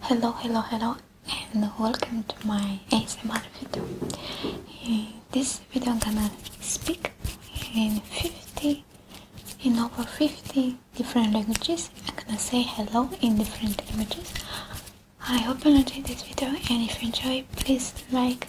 Hello, hello, hello, and welcome to my ASMR video. Uh, this video, I'm gonna speak in 50, in over 50 different languages. I'm gonna say hello in different languages. I hope you enjoy this video, and if you enjoy, please like,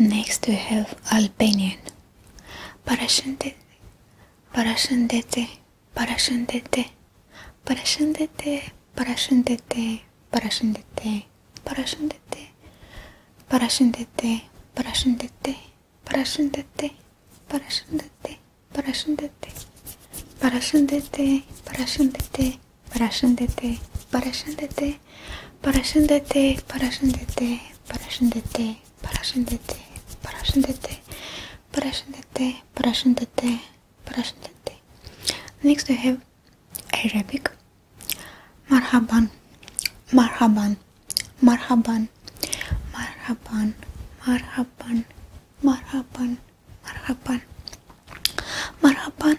Next we have Albanian. Parashëndetje, parashëndetje, parashëndetje, parashëndetje, parashëndetje, parashëndetje, parashëndetje, parashëndetje, parashëndetje, parashëndetje, parashëndetje, parashëndetje, parashëndetje, parashëndetje, parashëndetje, parashëndetje, Parashendete, parashendete, parashendete, parashendete, parashendete, parashendete, parashendete, parashendete. Next we have Arabic. Marhaban, marhaban, marhaban, marhaban, marhaban, marhaban, marhaban, marhaban.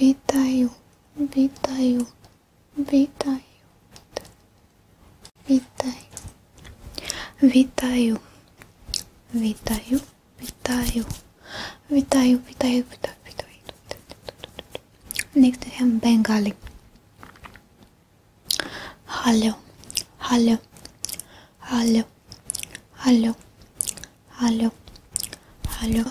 Вітаю, вітаю, вітаю, вітаю, вітаю, вітаю, вітаю, вітаю, вітаю, вітаю, вітаю. Next we have Bengali. Hello, hello, hello, hello, hello, hello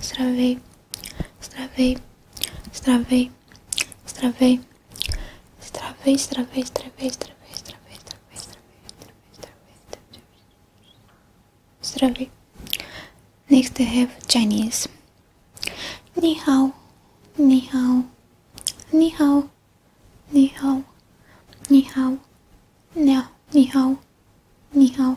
Stravei, stravei, stravei, stravei, stravei, stravei, stravei, stravei, stravei, stravei, stravei, stravei, Next I have Chinese. Ni hao, ni hao, ni hao, ni hao, ni hao, ni hao, ni hao, ni hao.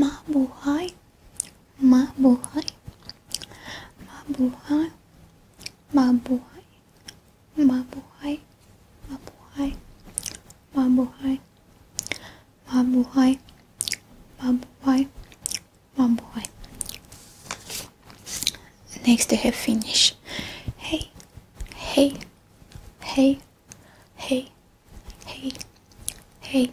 My my my my boy, boy, boy, boy, my boy, my boy, my boy, my boy, my boy. Next I have Finnish. Hey, hey, hey, hey, hey, hey.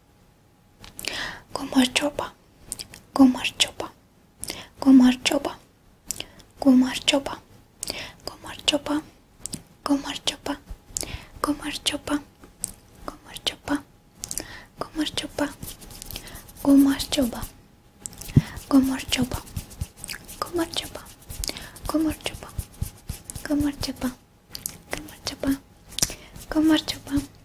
Como chopa, como chopa, como chopa, como chopa, como chopa, como chopa, como chopa, como chopa, como chopa, como chopa, como chopa, como chopa, como chopa, como chopa, chopa,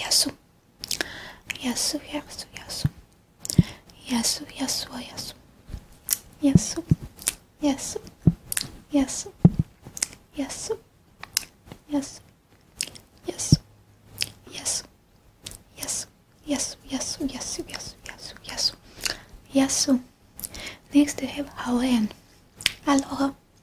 Yasu. Yasu, yasu, yasu. Yasu, yasu, yasu. Yasu. Yasu. Yasu. Yasu. Yasu. Yasu. Yasu. Yasu. Yasu, yasu, yasu, yasu, yasu, yasu. Yasu. Next we have Hawaiian. Aloha.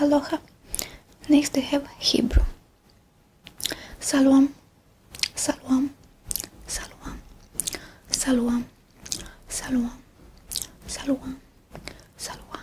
Aloha. Next we have Hebrew. Salwam, Salwam, Salwam, Salwam, Salwam, Salwam, Salwam, Salwam,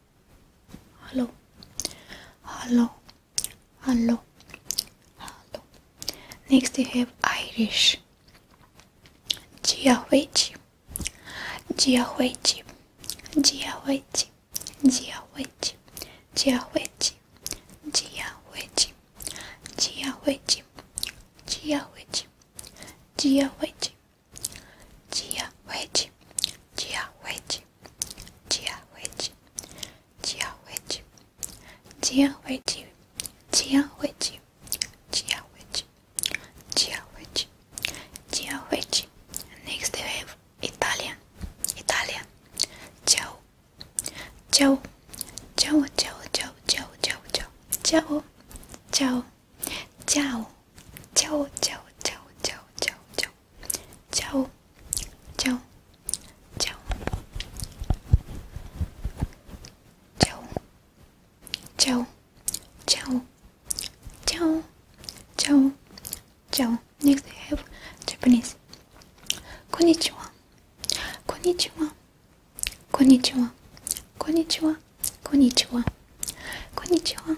hello, hello, hello, hello. Next we have Irish. Jiawechi, Jiawechi, Jiawechi, Jiawechi, Jiawechi, Jiawechi, Jiawechi, Jiawechi, Jiawechi, Jiawechi, Jiawechi. Dia which Gia which Gia which Gia which Gia which Gia which Gia which Next we have Italian Italian Ciao Ciao Ciao Ciao Ciao Ciao Ciao Ciao Ciao Ciao Ciao Ciao Ciao Ciao Ciao Ciao Ciao Ciao, ciao, ciao, ciao, ciao, ciao, ciao, ciao, ciao. Next, I have Japanese. Konnichiwa, konnichiwa, konnichiwa, konnichiwa, konnichiwa, konnichiwa,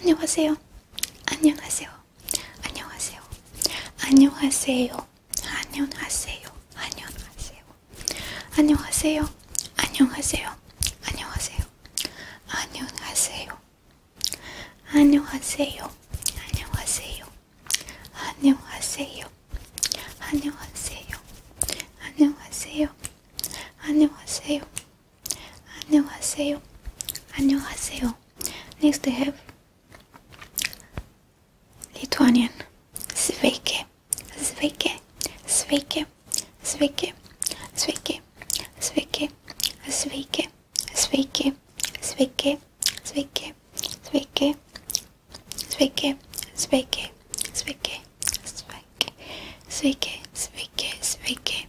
안녕하세요. 안녕하세요. 안녕하세요. 안녕하세요. 안녕하세요. 안녕하세요. 안녕하세요. 안녕하세요. 안녕하세요. 안녕하세요. 안녕하세요. 안녕하세요. 안녕하세요. 안녕하세요. 안녕하세요. 안녕하세요. 안녕하세요. 안녕하세요. Next we have Lithuanian. Sveiki. Sveiki. Sveiki. Sveiki. Sveiki. Sveiki. Sveiki. Sveiki. Sveiki. Sveiki. Sveiki. Sveiki. Sveiki. Sveiki. Sveiki. Sveiki. Sveiki. Sveiki.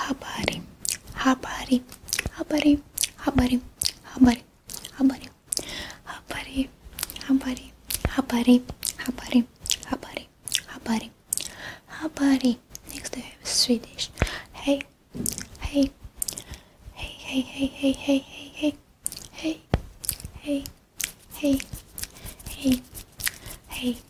habari habari habari habari habari habari habari habari habari habari habari habari habari next we have Swedish hey hey hey hey hey hey hey hey hey hey hey hey hey hey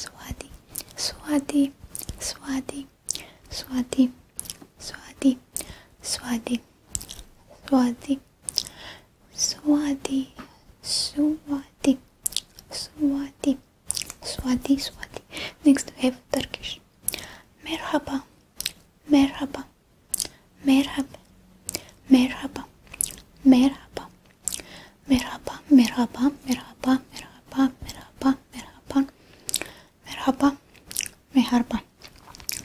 Swati, Swati, Swati, Swati, Swati, Swati, Swati, Swati, Swati, Swati, Swati, Swati. Next we have Turkish. Merhaba, merhaba, merhaba, merhaba, merhaba. Merhaba, merhaba, merhaba, merhaba, merhaba, merhaba, merhaba, merhaba.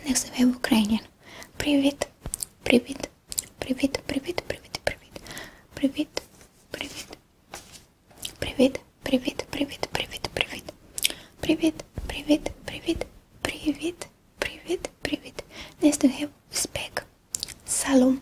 Next we have Ukrainian. Привіт, привіт, привіт, привіт, привіт, привіт, привіт, привіт, привіт, привіт, привіт, привіт, привіт, привіт, привіт, привіт, привіт, привіт, привіт. Next we have Uzbek. Salom,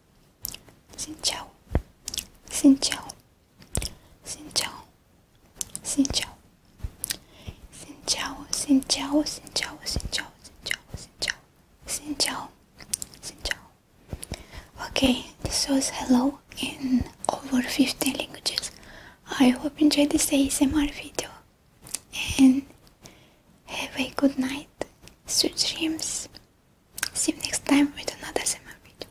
xin chào xin chào xin chào xin chào xin chào xin chào xin chào xin chào xin chào xin chào xin chào xin chào okay this was hello in over 15 languages i hope you enjoyed this asmr video and have a good night sweet dreams See you next time with another summer video.